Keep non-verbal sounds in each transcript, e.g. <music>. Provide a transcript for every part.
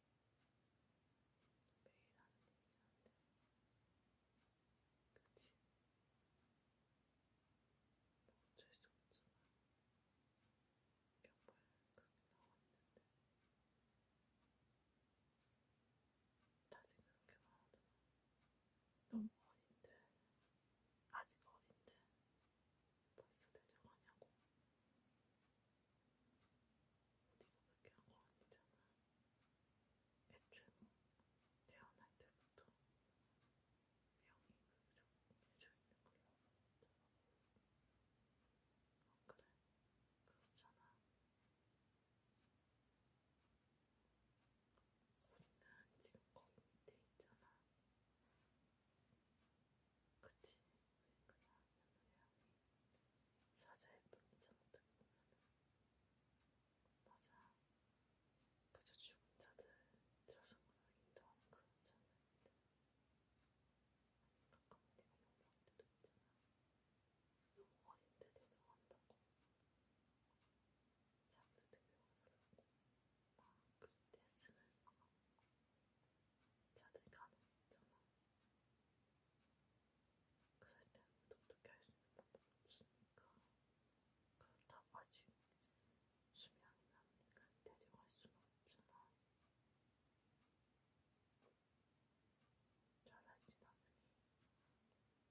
매일 하는 얘기긴 한데, 그치? 뭐 어쩔 수 없지만, 명발 크게 나왔는데, 다시 그렇게 말하더라. 너무 어린데, 아직 어린데, 벌써 대접하냐고. 네가 그렇게 한거 아니잖아. 애초에 뭐 태어날 때부터 병이 그저 해져 있는 걸로 알았다. 안 그래? 그렇잖아. 우리는 지금 거기 밑에 있잖아. 그치? 그냥 하늘의 향이 사자 예쁜 이잖아 어떻게 보면은 맞아 그저 죽은 자들 자성으로 인도하는 그런 자였는데 아니 가끔 내가 용기할 때도 있잖아 너무 어린데 대등한다고 잠도 되게 와달라고 막 아, 그때 쓰는 자들 가는 있잖아 그럴 때는 어떻게 할수 있는 방법 없으니까 그렇다고 아직 수명이 남으니까 데려갈 수는 없잖아 잘하지 않으니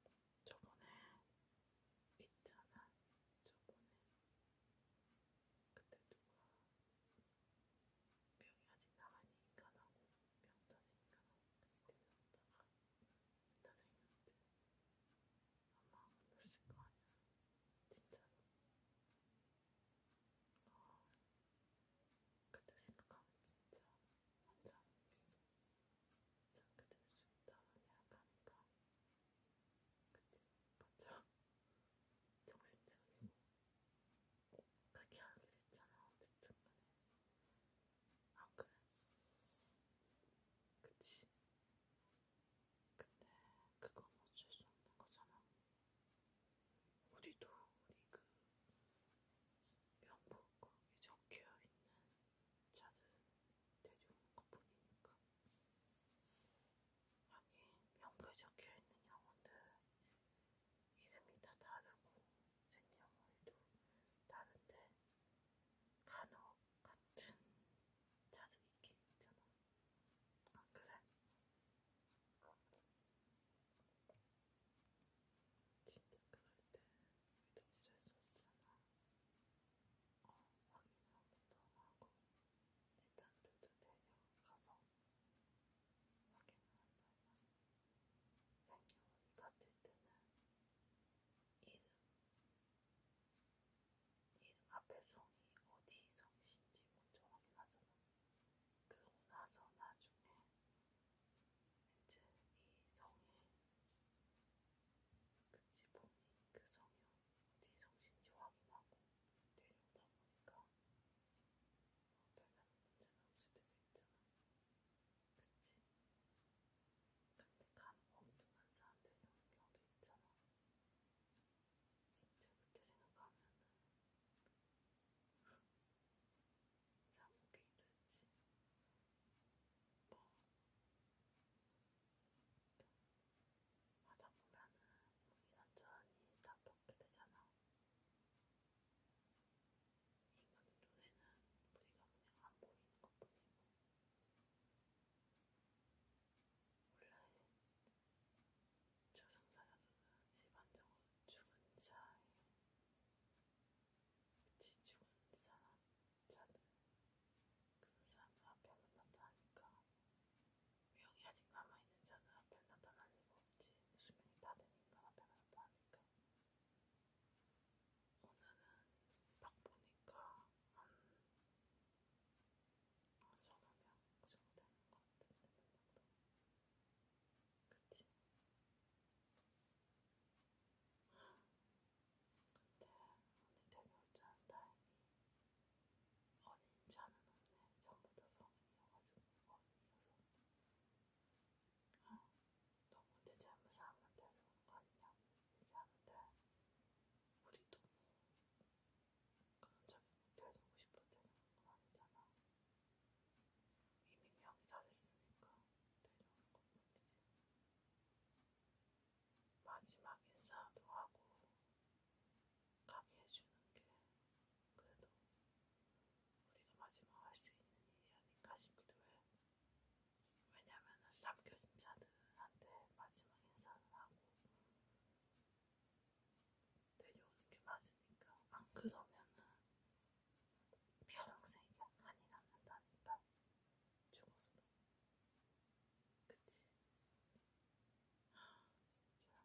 저번에 있잖아 저번에 그때 누가 병이 아직 나가니까 나고 병다니까 나고 같이 데려다가 다 다녔는데 아마 만났을 거 아니야 진짜로 어, 그때 생각하면 진짜 완전 참게 될수 있다는 생각하니까 그치? 맞죠? <laughs> 정신적이고 그렇게 알게 됐잖아. 어쨌든 간에. 안 아, 그래? 그치? 근데 그건 어쩔 수 없는 거잖아. 우리도 우리 그 명복국에 적혀있는 자들 데려오는 것뿐이니까. 여기 명부에 적혀있는 영혼들 이름이 다 다르고 생년월일도 다른데 간혹 같은 자들이 있긴 있잖아. 아 그래? 진짜 그럴 때 우리도 어쩔 수 없잖아. 어, 확인 한번더 하고 일단 둘다 데려가서 확인한다면 생년월일 같을 때는 이름, 이름 앞에 성이 어디 성신지 먼저 확인하잖아. 그러고 나서 나중에 이제 이 성에 그치 본인 그 성이 어디 성신지 확인하고 내려오다 보니까 뭐 별다른 문제는 없을 때도 있잖아. 그치? 근데 간 엉뚱한 사람들이 오는 경우도 있잖아. 진짜 그때 생각하면은 참 웃기기도 했지. 뭐 하다 보면은 우리 천천히 다 덮게 되잖아. 인간의 눈에는 우리가 그냥 안 보이는 것 뿐이고, 원래 저승사자들은 일반적으로 죽은 자의, 그치, 죽은 사람, 자들, 그런 사람들 앞에 만났다니까 유형이 아직 남아있는 자는 앞에 나타나는 거 없지. 수명이 다 되니까 앞에 나타나니까. 오늘은 딱 보니까 한, 한 서너 명 정도 되는 것 같은데, 몇 명도. 그치? 근데 언니 데뷔올자는 다행히 어린자는 없네. 전부 다 성인이어가지고 어린이어서 너무 되지 않은 사람한테 하는 거 아니냐 이렇게 하는데 우리도 뭐 그런 적이 못해주고 싶을 때는 그건 아니잖아 이미 명이 잘했으니까 내려오는 것뿐이지 마지막 인사도 하고 가게 해주는 게 그래도 우리가 마지막 할 수 있는 일이 아닌가 싶기도 해요. 왜냐면은 남겨진 자들한테 마지막 인사를 하고 내려오는 게 맞으니까 안 그러면은 평생 약간이 남는다니까 죽어서도 그치? 아,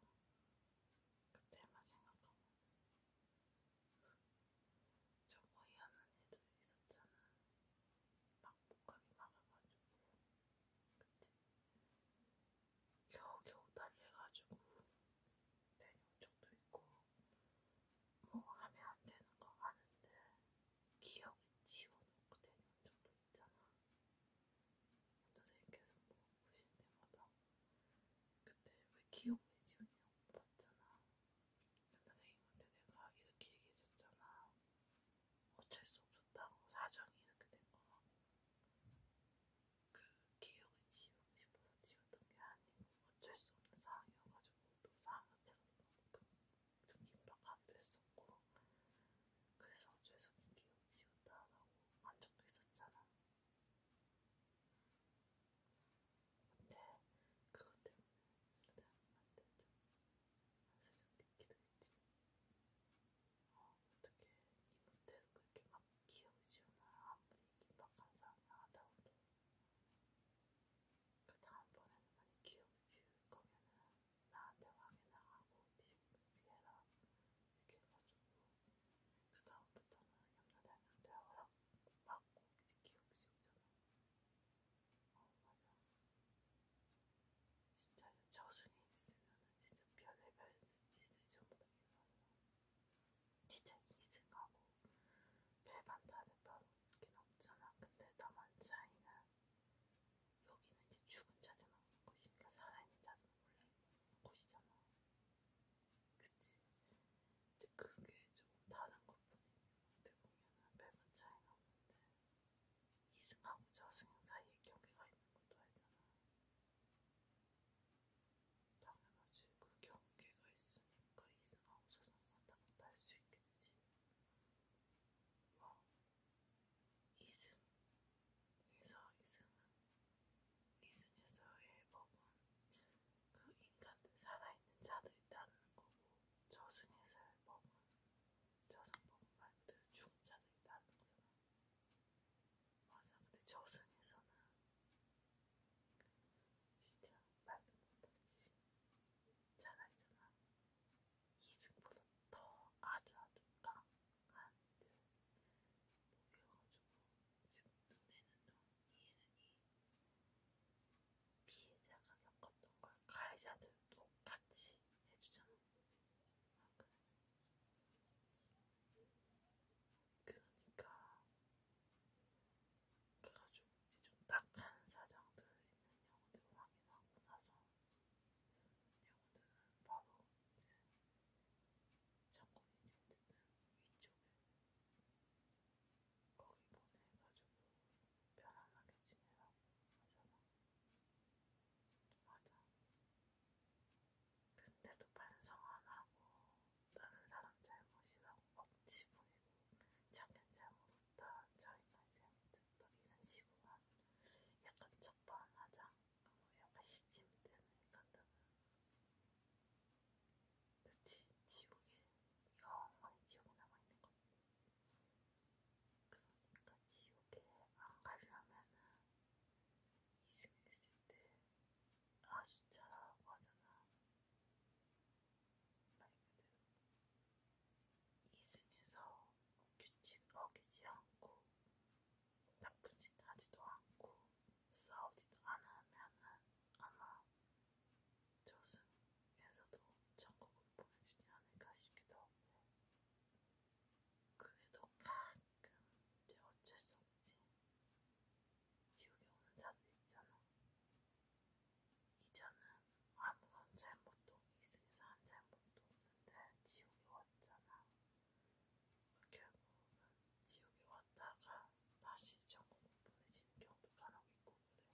진짜 그때만 생각하면 저거 이하는 애들 있었잖아. 막 목감이 막아가지고 그치? 겨우겨우 달래가지고 내용 적도 있고 뭐 하면 안 되는 거 아는데 기억을 지워놓고 내용 적도 있잖아. 선생님께서 뭐 보실 때마다 그때 왜 기억이 지훈이형 봤잖아. 선생님한테 내가 이렇게 얘기했었잖아. 어쩔 수 없었다고 사정이 이렇게 된 거라고. 그 기억을 지우고 싶어서 지웠던 게 아니고 어쩔 수 없는 상황이어가지고 또 상황 자체가 그 좀 긴박한 됐었고 그래서 어쩔 수 없는 기억을 지웠다라고 한 적도 있었잖아. 네, 그것 때문에 사람한테 좀 살짝 느끼도 했지. 어, 어떻게 니 못해도 그렇게 막 기억지우나 아무리 긴박한 사람이 하다 보니 그 다음번에는 만약 기억을 지울 거면은 나한테 확인을 하고 뒤집든지 해라 이렇게 해가지고 그 다음부터는 옆나 닮은 자랑 맞고 이제 기억 지우잖아. 어 맞아. 진짜 저승이 있으면은 진짜 별의별 일들이 전부 다 일어나잖아. 진짜 이승하고 별반다를 빠놓긴 없잖아. 근데 나만 차이는 여기는 이제 죽은 자들만 오는 것이니까 살아있는 자들은 원래 오는 것이잖아. 그치? 이제 그게 조금 다른 것뿐이지 어떻게 보면은 별반 차이는 없는데 이승하고 저승 사이에 경계가 있는 것도 알잖아 당연하지 그 경계가 있으니까 이승하고 저승 왔다 갔다 할수 있겠지 뭐 이승 그래서 이승은 이승에서의 법은 그 인간 살아있는 자들이 따르는 거고 저승에서의 법은 저승법은 말 그대로 죽은 자들이 따르는 거잖아. 맞아. 근데 저승에서는 진짜 말도 못하지. 살아있잖아. 이승보다 더 아주 아주 강한 같은 목이어가지고 지금 눈에는 눈, 이에는 이 피해자가 겪었던 걸 가해자들 똑같이 해주잖아. 아, 그래. 그러니까 그래가지고 이제 좀 딱한 사정들 있는 영혼들 확인하고 나서 영혼들은 바로 이제 작업이 힘든데 위쪽에 거기 보내가지고 편안하게 지내라고 하잖아. 맞아. 근데도 반성 안 하고 다른 사람 뭐 잘못이라고 억지 부리고 자기는 잘못했다, 자기는 잘못했다 이런 식으로 약간 적반하장 어, 약간 시침 때문에 간다면 그치 지옥에 영 많이 지옥에 남아있는 거 그러니까 지옥에 안 가려면은 이승했을 때 아주 잘하고 하잖아 말 그대로 이승에서 규칙 어기지 않고 나쁜 짓 하지도 않고 싸우지도 않으면은 아마 저승에서도 천국으로 보내주지 않을까 싶기도 하고 그래도 가끔 이제 어쩔 수 없지 지옥에 오는 자들 있잖아 이자는 아무런 잘못도 이 세상에서 한 잘못도 없는데 지옥에 왔잖아. 결국은 지옥에 왔다가 다시 전국을 보내지는 경우도 간혹 있고 그래.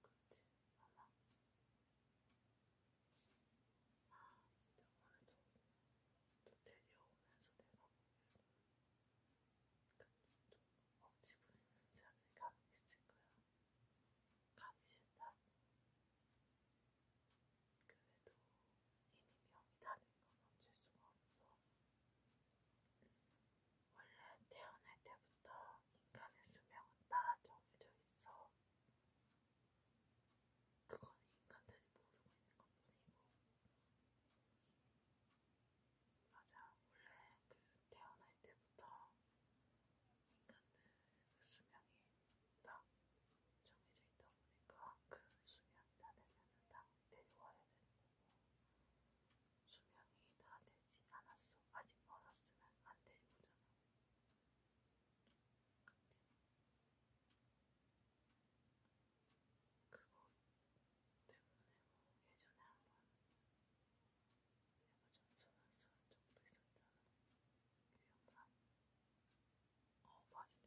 그렇지, 아마. 아, 진짜 오늘도 또 데려오면서 내가 보기에는 그또 억지 부리는 자들이 간혹 있을 거야. 가기 싫다. 그래도 이미 병이 나는 건 어쩔 수가 없어. 원래 태어날 때부터 인간의 수명은 따라 정해져 있어. 그건 인간들이 모르고 있는 것 뿐이고. 맞아, 원래 그 태어날 때부터 인간들 그 수명이 정해져 있다 보니까 그 수명이 다 되면은 다 내려와야 되는 거고 수명이 다 되지 않았어 아직 멀었으면 안 내려오잖아. 그치? 그거 때문에 뭐 예전에 한번 내가 좀 소란스러운 적도 있었잖아. 그 영상. 어 맞네.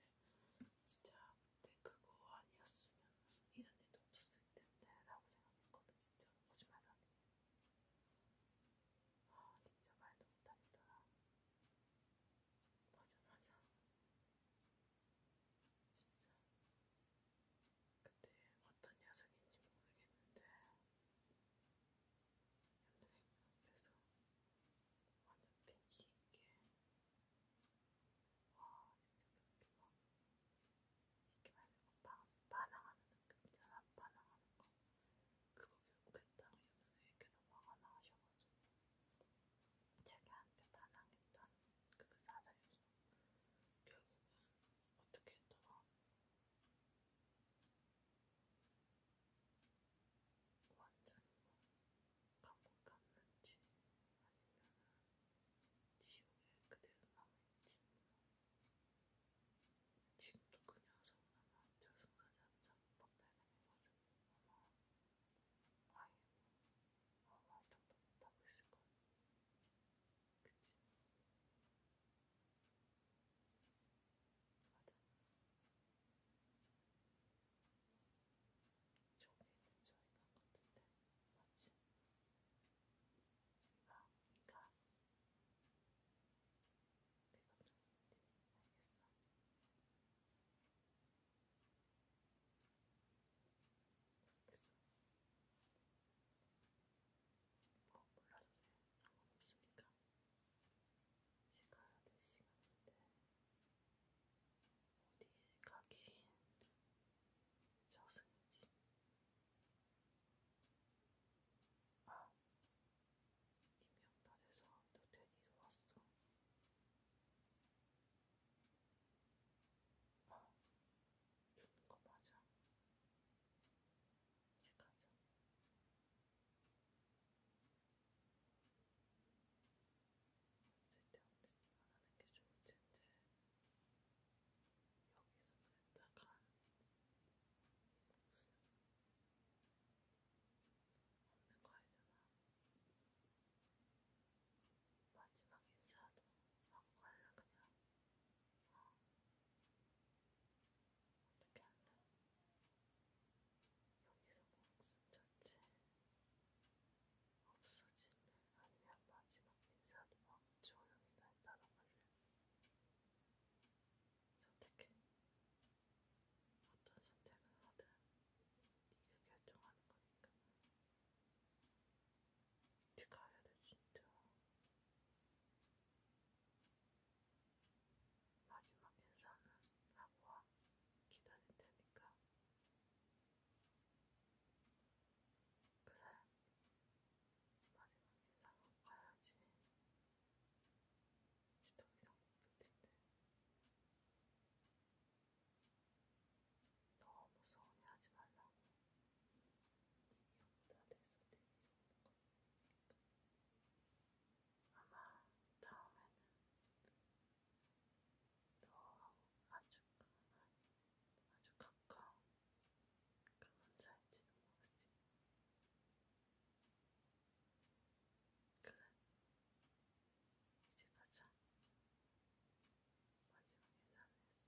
진짜 그때 그거 아니었으면 이런 일도 없었을 텐데라고 생각했거든. 진짜 거짓말 아니에요. 아 진짜 말도 못하겠더라. 맞아 맞아. 진짜 그때 어떤 녀석인지 모르겠는데 그래서 완전 핑키 있게 와 진짜 막 쉽게 말해서 반항하는 느낌 있잖아 반항하는 거 그거 결국했다 이러면서 계속 화가 나셔가지고 자기한테 반항했던 그 사자에서 결국은 어떻게 했더라 완전히 뭐 감옥 갔는지 아니면은 지옥에 그대로 남아있지 지금도 그 녀석은 아마 저승까지 한참 박탈당해가지고 아마 아예 뭐 아무 활동도 못하고 있을걸 그치? 맞아. 저기 있는 저희가 같은데, 맞지? 아, 가. 내가 그랬지. 알겠어. 알겠어. 어, 몰라도 돼. 상관없으니까. 이제 가야 될 시간인데 어디에 가긴 저승이지. 아, 김영란에서 또 데리러 왔어. 아, 죽는 거 맞아. 이제 가자. 쓸데없는 짓 말하는 게 좋을 텐데 여기서 그랬다가 목숨 없는 거 알잖아. 마지막 인사도 하고 갈라 그냥. 어. 어떻게 한다? 여기서 목숨 자체 없어지면 아니면 마지막 인사도 조용히 날 따라가려 선택해 어떤 선택을 하든 네가 결정하는 거니까 네가 해야 돼 진짜 마지막 인사는 하고 와. 기다릴 테니까. 그래. 마지막 인사하고 가야지. 지도 이상 못 버틴대. 너무 서운해 하지 말라고. 네 이형보다 내 손에 이형보다. 아마 다음에는 너하고 아주 강한, 아주 가까운 그 문자인지도 모르지. 그래, 이제 가자. 마지막 인사했어. 내가 인사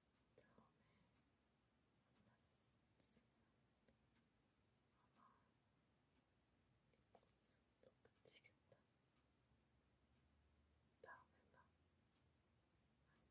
처음에 만났지만 아마 네 모습도 그치겠다. 다음에 봐. 안녕.